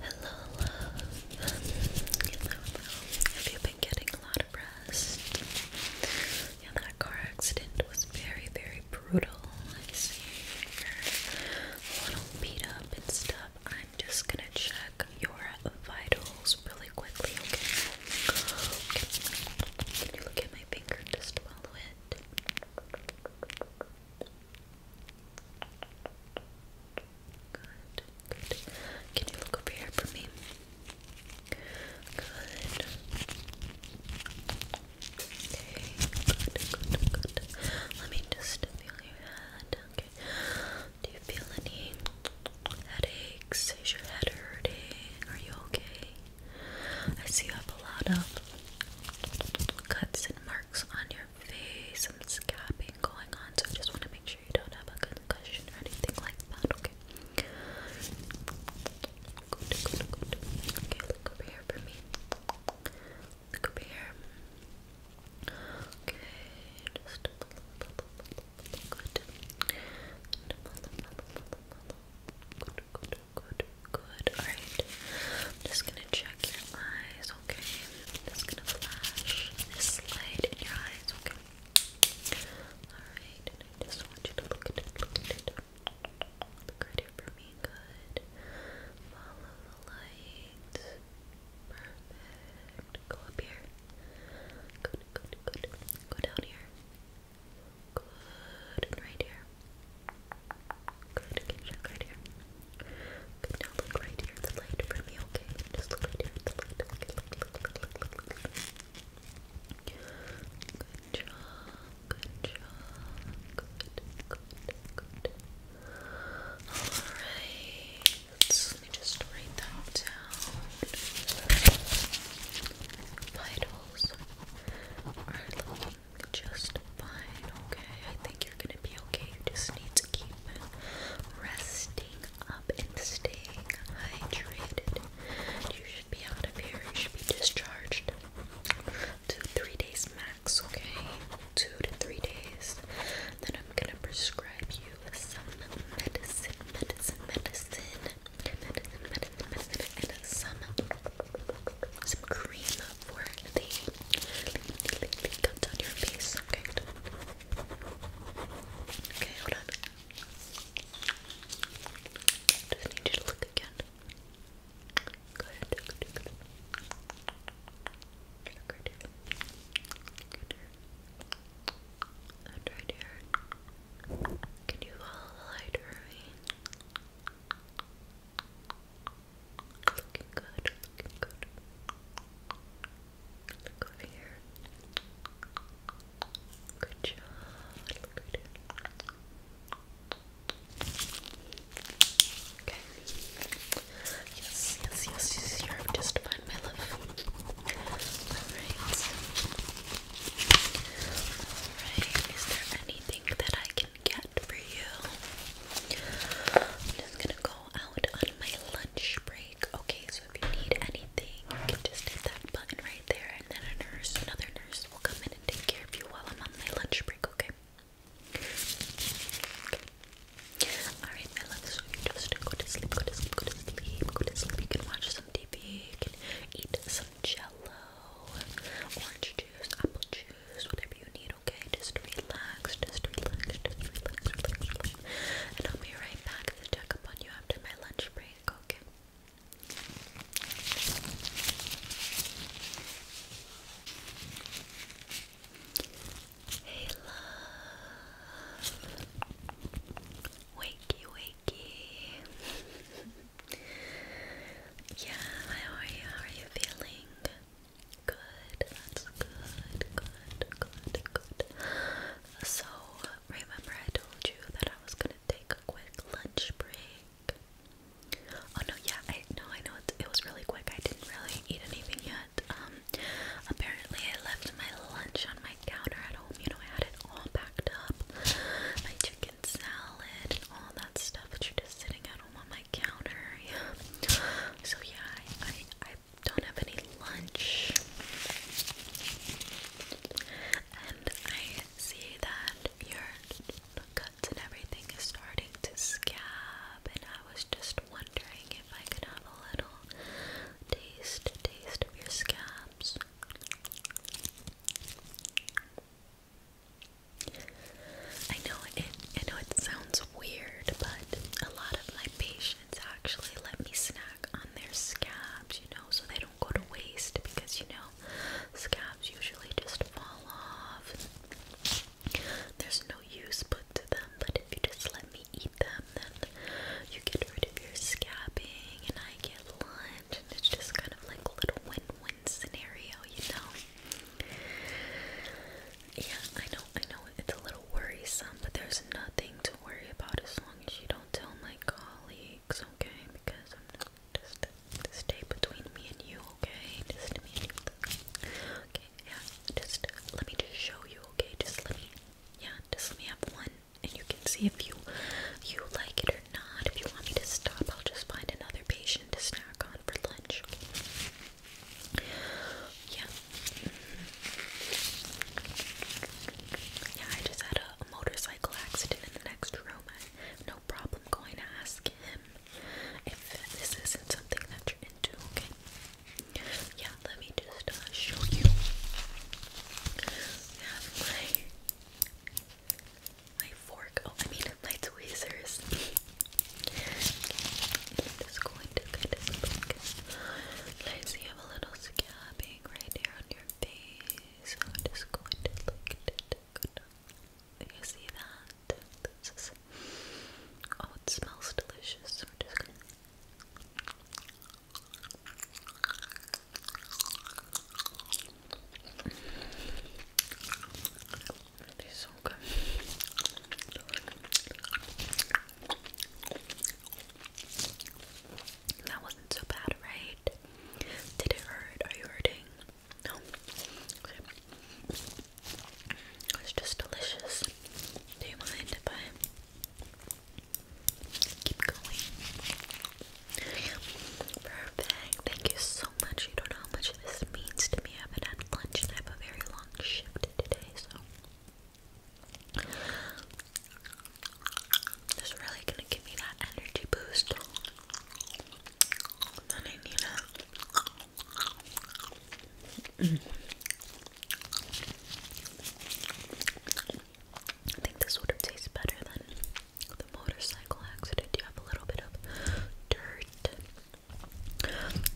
Hello, Have you been getting a lot of rest? Yeah, that car accident was very, very brutal. I see you're a little beat up and stuff. I'm just gonna check your vitals really quickly, okay? Can you look at my finger? Just follow it. Good, good. Can you look over here for me? Good. Okay, good, good, good. Let me just feel your head. Okay. Do you feel any headaches? Is your head hurting? Are you okay? I see you have a lot of cuts and marks on your face, some scabbing going on, so I just want to make sure you don't have a concussion or anything like that, okay? Okay, look over here for me. Look over here. Okay, just good, good. Alright, I'm just gonna check your eyes, okay? just gonna flash this light in your eyes, okay? Alright, just want you to look at look at here for me, good. Follow the light. Perfect. Go up here. Good, good, good. Go down here. Good, and right here. Good, keep check right here. Good, now look right here at the light for me, okay? Just look right here at the light. Okay, look, look, look, look, look, look, Good job, good job. Good, good, good. Alright, let me just write that down. Vitals are looking just fine, okay? I think you're gonna be okay. You just need to keep resting up and staying hydrated. You should be out of here. You should be discharged two, three days max, okay? Two to three days. Then I'm gonna prescribe you some medicine, medicine, medicine medicine, medicine, medicine, and some some cream for the, the, the cuts on your face. Okay. Okay, hold on. Just need you to look again. Good, good, good. good. Look right here. Good. And right Can you follow the light for me? Looking good, looking good. Look over here. Good job. Look right here. Okay. Yes, yes, yes, yes, you're just fine, my love. Alright. Alright, is there anything that I can get for you? I'm just gonna go out on my lunch break. Okay, so if you need anything, you can just hit that button right there, and then a nurse, another nurse, will come in and take care of you while I'm on my lunch break, okay? okay. Alright, my love, so you just go to sleep, go to sleep, go to sleep, go to sleep. You can watch some TV, you can eat some jello, orange juice, apple juice, whatever you need, okay? Just relax, just relax, just relax. And I'll be right back to check up on you after my lunch break, okay? Hey love. Wakey, wakey. yeah, how are you? How are you feeling? Good, that's good, good, good, good. So, remember I told you that I was gonna take a quick lunch break. Oh no, yeah, I know, I know it, it was really quick. I didn't really eat anything yet. Um, apparently I left my lunch on my counter at home. You know, I had it all packed up. My chicken salad and all that stuff, which are just sitting at home on my counter. Yeah. So yeah, I I, don't have any lunch. And I see that your guts and everything is starting to scab, and I was just wondering if I could have a little taste, taste of your scabs. I know it I know it sounds weird, but a lot of my patients actually let me snack on their scabs, you know, so they don't go to waste because you know scabs usually just fall off. There's no use put to them, but if you just let me eat them, and then you get rid of your scabbing and I get lunch and it's just kind of like a little win-win scenario, you know? Yeah, I know, I know it's a little worrisome, but there's nothing to worry about as long as you don't tell my colleagues, okay? Because I'm not just to stay between me and you, okay? Just me and you. Okay, yeah. Just let me just show you, okay? Just let me, yeah. Just let me have one and you can see if you you like it or not. If you want me to stop, I'll just find another patient to snack on for lunch. Yeah. Yeah, I just had a, motorcycle accident in the next room. no problem going to ask him if this isn't something that you're into, okay? let me just uh, show you. I have my my fork. Oh, I mean my tweezers. I'm just going to kind of look. Nice, you have a little scabbing right here on your face. I'm just going to look at it. You see that? This is. Oh, it smells delicious. So we just going these so good. That wasn't so bad, right? Did it hurt? Are you hurting? No. Okay. It's just delicious. Do you mind if I Keep going. Perfect. Thank you so much. You don't know how much this means to me. I haven't had lunch and I have a very long shift today, so this is really gonna give me that energy boost that I need. Mm I think this would have tasted better than the motorcycle accident. You have a little bit of dirt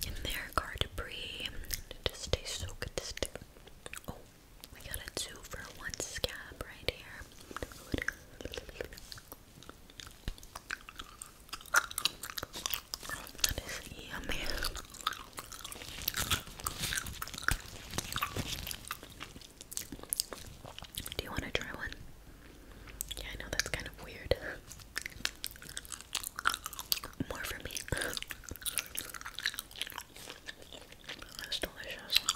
in there, car debris. It just tastes so good. Oh, we got a two for one scab right here. That is yummy. Do you want to try one? Yeah, I know that's kind of weird. More for me. Oh, that's delicious.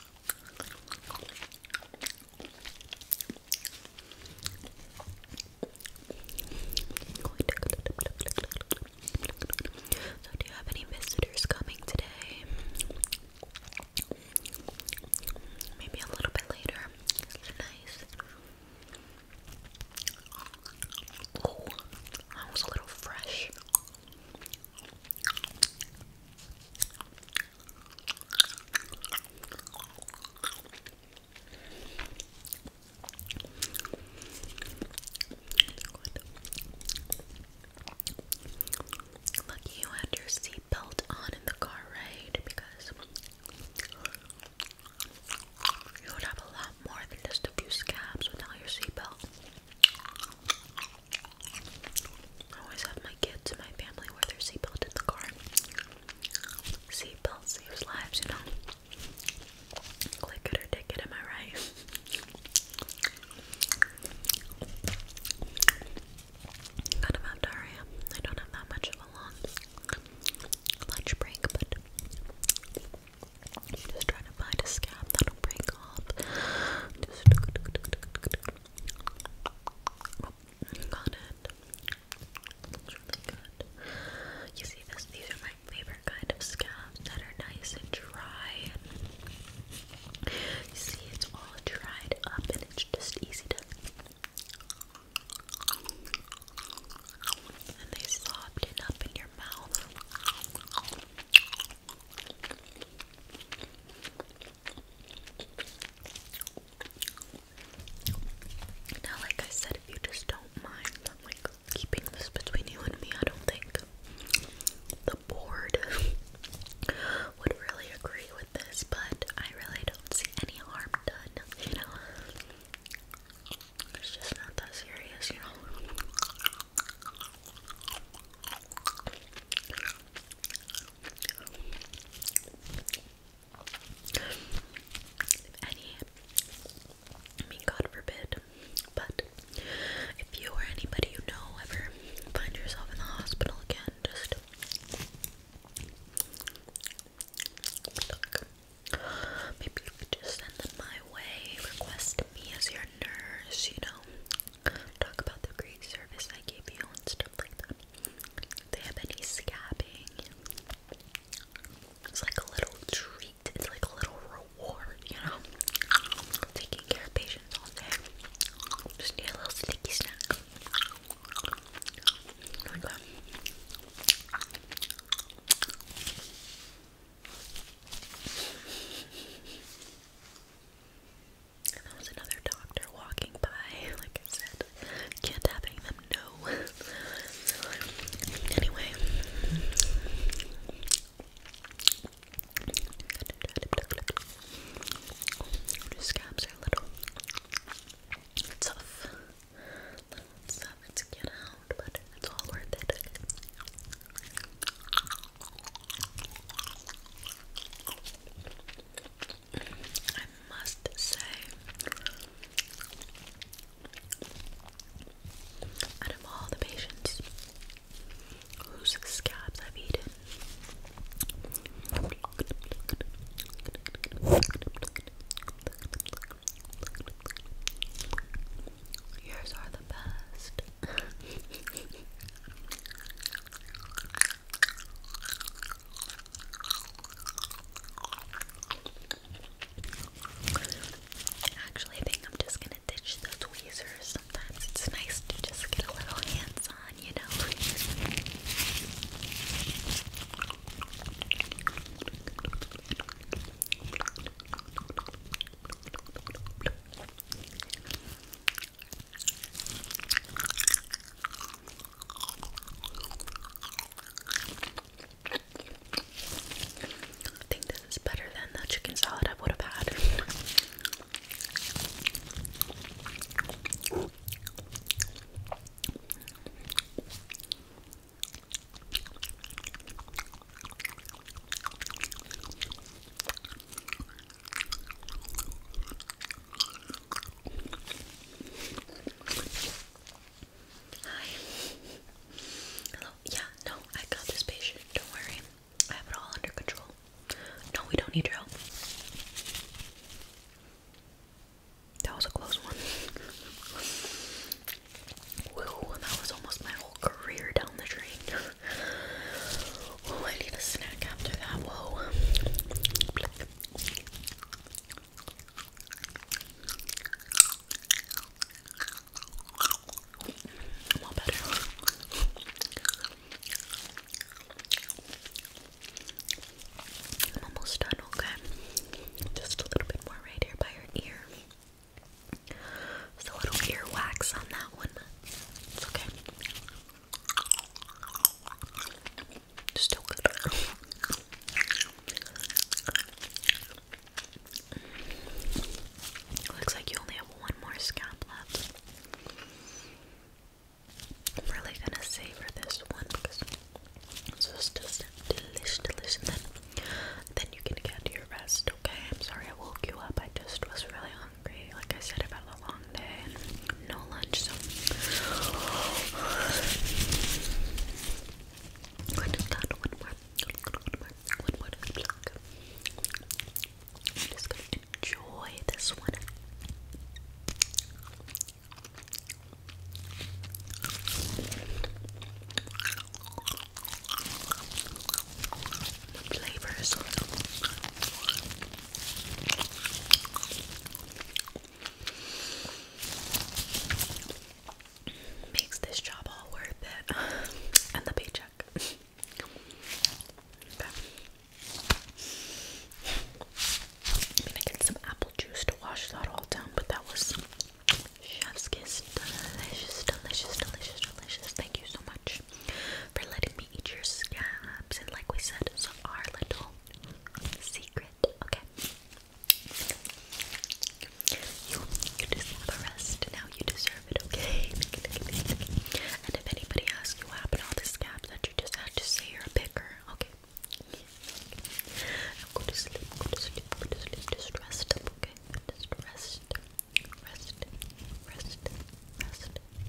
So, do you have any visitors coming today? Maybe a little bit later. Nice. Oh, was a little fresh. Good. you had your seatbelt on in the car, right? Because you would have a lot more than just a few scabs without your seatbelt. I always have my kids and my family wear their seatbelt in the car. Seatbelt saves lives, you know. Click it or take it, am I right? Got about Daria. I don't have that much of a long lunch break, but just trying to find a scab that'll break off. got it. really good. You see this? These are my my favorite kind of scabs that are nice and dry. And you see, it's all dried up and it's just easy to. And they soften up in your mouth. Now, like I said, if you just don't mind i like keeping this between you and me. I don't think the board would really agree with this, but I really don't see any harm done, you know. It's just not that serious, you know. If any, I mean, God forbid, but if you or anybody you know ever find yourself in the hospital again, just Maybe you could just send them my way, request me as your nurse, you know, talk about the great service I gave you and stuff like that. If they have any scabbing, it's like a little treat. It's like a little reward, you know? Taking care of patients all day. Just need a little sticky snack. There was another doctor walking by, like I Can't have them, no. anyway. The scabs are a little tough. tough to get out, but it's all worth it. I must say, out of all the patients whose scabs I've eaten, yours are the best. Actually, I think I'm just gonna ditch the tweezers. Sometimes it's nice to just get a little hands on, you know. I think this is better than the chicken salad I would have had. Hi. Hello. Yeah, no, I got this patient. Don't worry. I have it all under control. No, we don't need drill. That was a close one. Woo, that was almost my whole career down the drain. oh, I need a snack after that. Whoa. I'm almost done, okay? Just a little bit more right here by your ear. Just a little ear wax on that one. It's okay. Still good. Looks like you only have one more scalp left. I'm really gonna savor this one because it's just, just delicious, delicious. then, then you can get your rest, okay? I'm sorry I woke you up. I just was really hungry. Like I said about the long no lunch, so one more. One more. One more. Block. I'm just gonna enjoy this one. flavors. Makes this job all worth it. and the paycheck. okay. I mean, I get some apple juice to wash that all down, but that was chef's kiss. Delicious, delicious, delicious, delicious. Thank you so much for letting me eat your scabs. And like we said, it's our little secret. Okay. You, you deserve a rest. Now you deserve it, okay? And if anybody asks you what all the scabs that you just had, just say you're a picker, okay? Now go to sleep, go to sleep, go to sleep. Just rest okay? Just rest, rest, rest, rest.